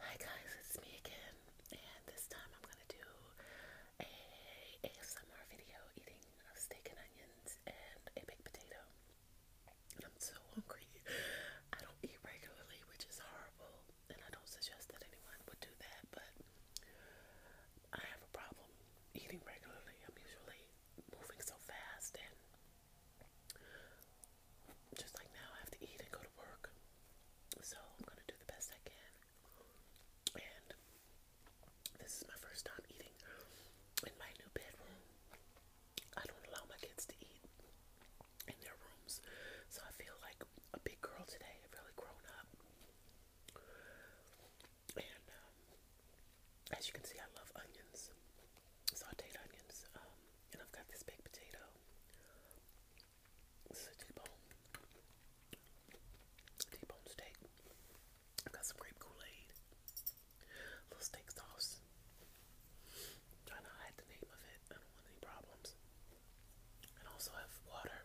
Hi guys, it's me again, and this time I'm gonna do a ASMR video eating of steak and onions and a baked potato. And I'm so hungry. I don't eat regularly, which is horrible, and I don't suggest that anyone would do that, but I have a problem eating regularly. I'm usually moving so fast and just like now, I have to eat and go to work. So I'm gonna do the best I can. And this is my first time eating in my new bedroom. I don't allow my kids to eat in their rooms, so I feel like a big girl today, really grown up. And um, as you can see, I love onions, sauteed onions. Um, and I've got this big potato. This is a T-bone. T-bone steak. I've got some grape Kool-Aid. little steak sauce. trying to hide the name of it. I don't want any problems. And also have water.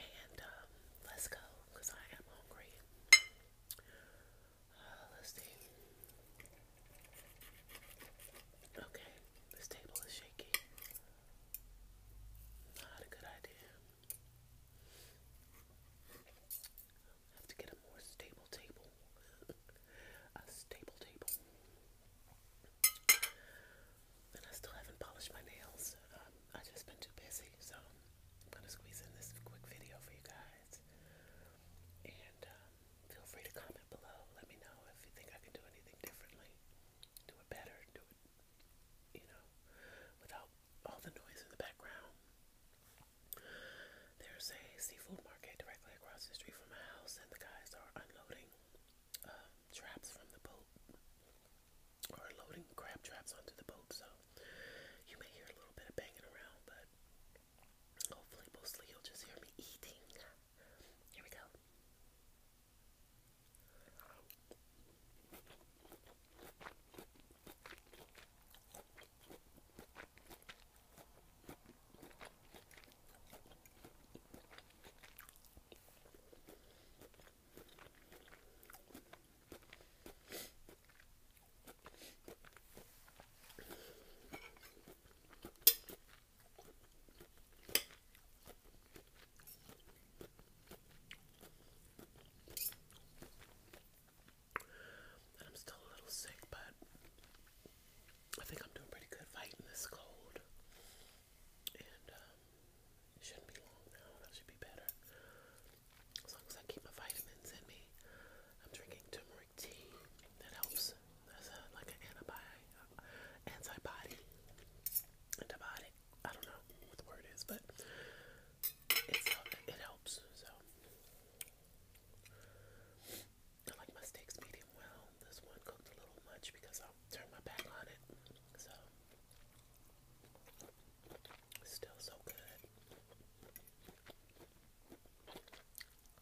And um, let's go because I am hungry let's see. Okay, this table is shaky. Not a good idea. I have to get a more stable table. a stable table. And I still haven't polished my nails. Um, i just been too busy, so I'm gonna squeeze in this quick video for you guys. And um, feel free to comment below. Let me know if you think I can do anything differently, do it better, do it, you know, without all the noise in the background. There's a seafood market directly across the street from my house, and the guys are unloading uh, traps from the boat or loading crab traps onto the boat. So you may hear a little bit of banging around, but Hopefully, mostly you'll just hear me eating. Here we go. I'm still a little sick, but I think I'm doing pretty good fighting this cold. And um, it shouldn't be long now, that should be better. As long as I keep my vitamins in me, I'm drinking turmeric turmeric tea that helps as a, like an antibiotic, antibody, antibiotic. I don't know what the word is, but it helps. So I like my steaks medium well. This one cooked a little much because I'll turn my back on it. So still so good.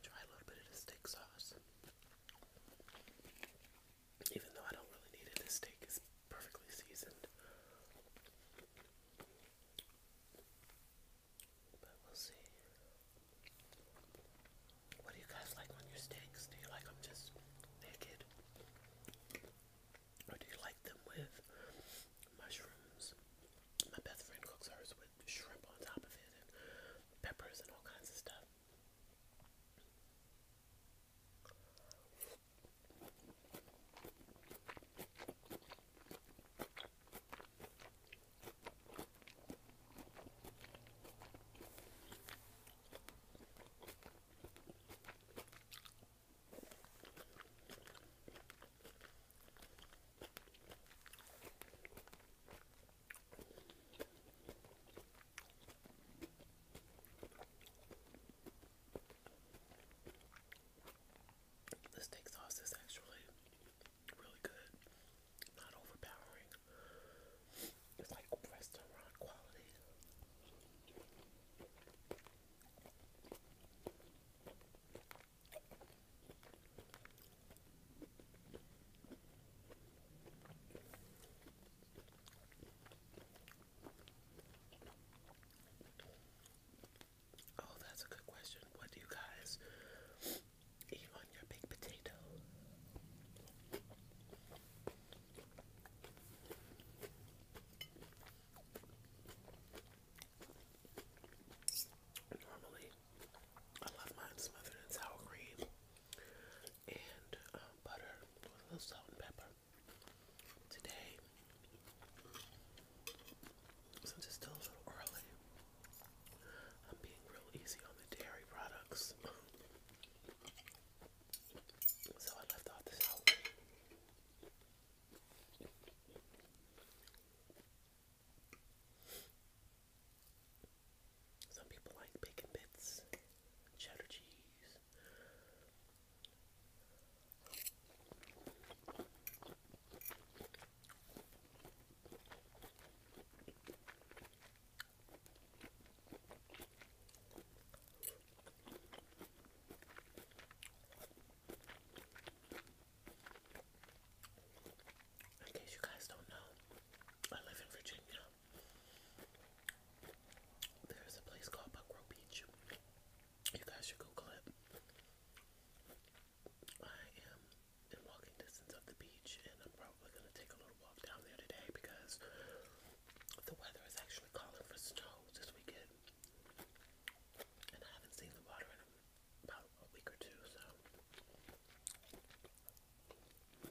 Try a little bit of the steak sauce. Even though I don't really need it, this steak is perfectly seasoned. But we'll see. What do you guys like on your steaks? Do you like them just naked? Or do you like them with mushrooms? My best friend cooks hers with shrimp on top of it and peppers and all kinds of stuff. The steak sauce is actually really good, not overpowering. It's like restaurant quality. Oh, that's a good question. What do you guys eat on your big potato? Normally, I love mine smothered in sour cream and um, butter a little salt and pepper. Today, since it's still a little early, I'm being real easy on the dairy products. So I left off the sour some people like bacon bits, cheddar cheese. In case you guys don't know, I live in Virginia. There's a place called Buckrow Beach. You guys should Google it. I am in walking distance of the beach, and I'm probably going to take a little walk down there today because the weather is actually calling for snow this weekend. And I haven't seen the water in a about a week or two, so I love the water and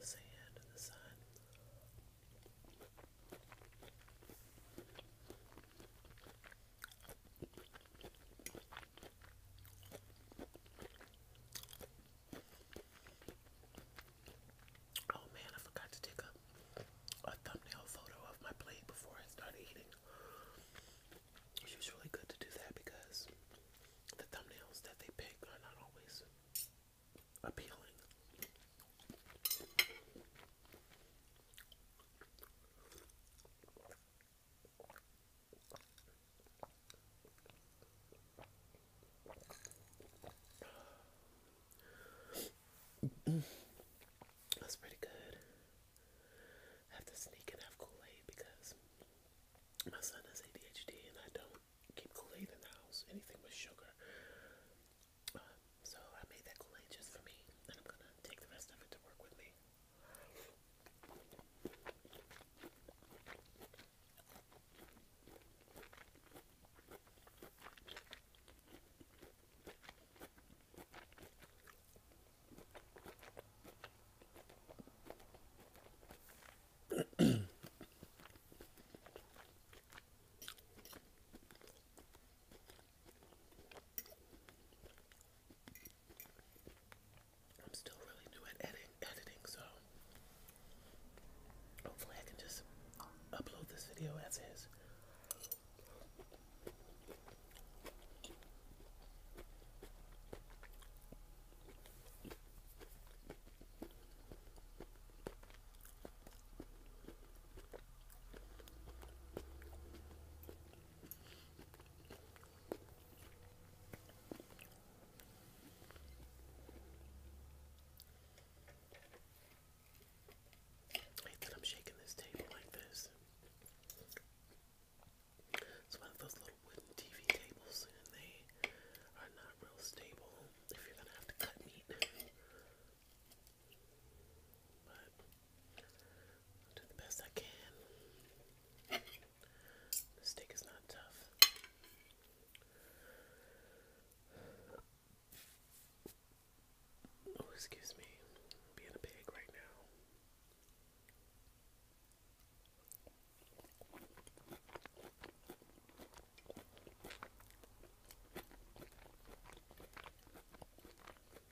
the sand and the sun. Oh man, I forgot to take a, a thumbnail photo of my plate before I started eating. It's usually good to do that because the thumbnails that they pick are not always appealing. That's pretty good. have to sneak and have Kool Aid because my son has ADHD and I don't keep Kool Aid in the house, anything with sugar. Um, so I made that kool just for me, and I'm gonna take the rest of it to work with me. I'm still really new at edit editing, so hopefully I can just upload this video as is. I am shaking this table like this. It's one of those little wooden TV tables, and they are not real stable if you're gonna have to cut meat. But I'll do the best I can. The stick is not tough. Oh, excuse me. being a pig right now.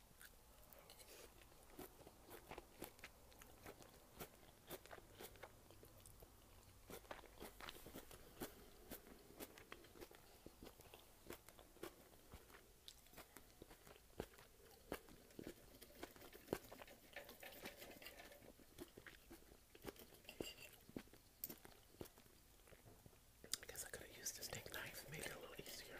I guess I could have the steak knife, made it a little easier.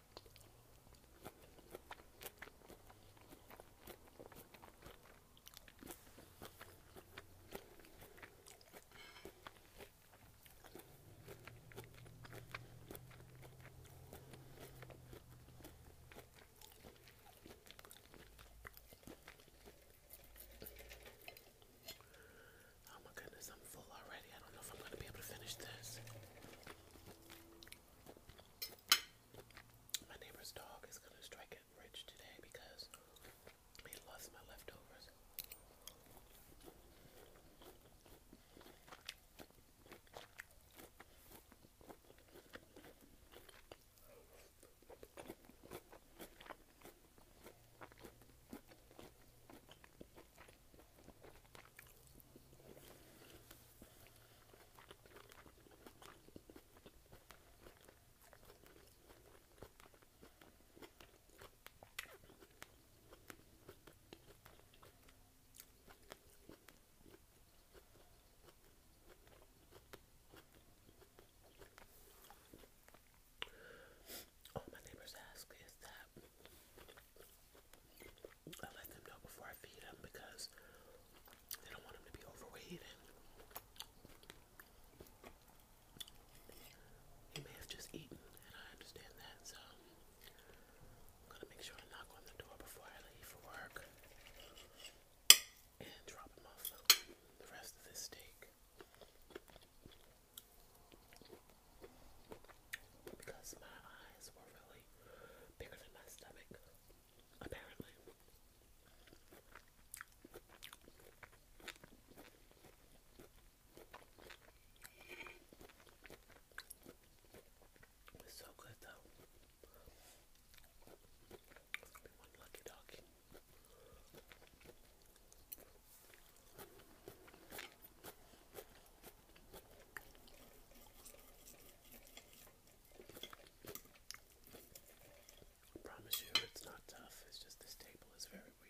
Oh my goodness, I'm full already. I don't know if I'm going to be able to finish this. My neighbor's dog is gonna strike it rich today because he lost my leftovers. All my neighbors ask is that I let them know before I feed them because they don't want them to be overweight and may have just eaten and I understand that so I'm gonna make sure to knock on the door before I leave for work and drop them off the rest of this steak because my eyes were really bigger than my stomach, apparently. so good though. Be one lucky doggy. I promise you it's not tough, it's just this table is very weak.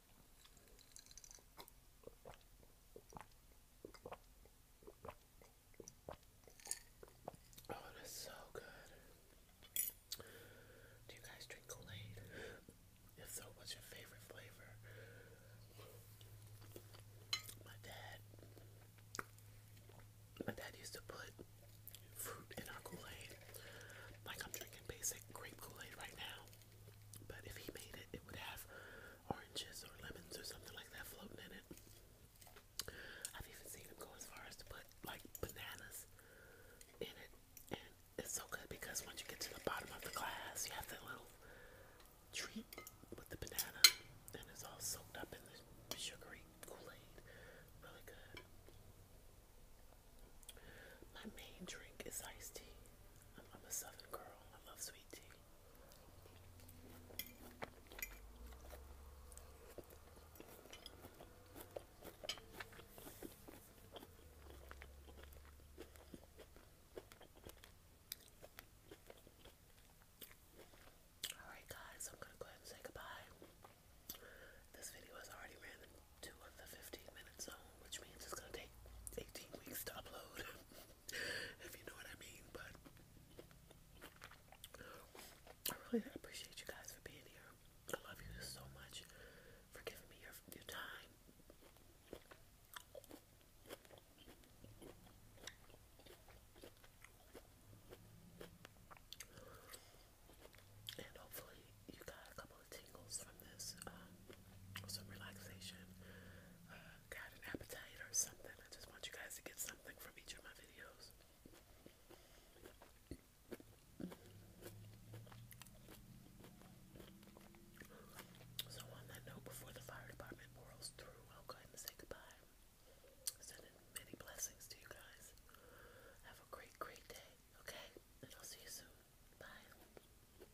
Oh, so good. Do you guys drink Kool Aid? If so, what's your favorite flavor? My dad, my dad used to put fruit in our Kool Aid. Like I'm drinking basic grape Kool Aid right now, but if he made it, it would have oranges or lemons or something like that floating in it. I've even seen them go as far as to put like bananas in it, and it's so good because once you get to the bottom of the glass, you have that little treat with the banana, and it's all soaked up in the sugary Kool Aid. Really good. My main drink is iced tea. I'm a southern girl, I love sweet quality. Alright, guys, I'm gonna go ahead and say goodbye. This video has already ran into the 15 minute zone, which means it's gonna take 18 weeks to upload. if you know what I mean. But I really appreciate you guys for being here. I love you so much for giving me your, time. And hopefully you got a couple of tingles from this, uh, some relaxation, uh, got an appetite or something. I just want you guys to get something from each of my videos. So on that note, before the fire department whirls through, I'll go ahead say goodbye. Sending many blessings to you guys. Have a great, great day, okay? And I'll see you soon. Bye.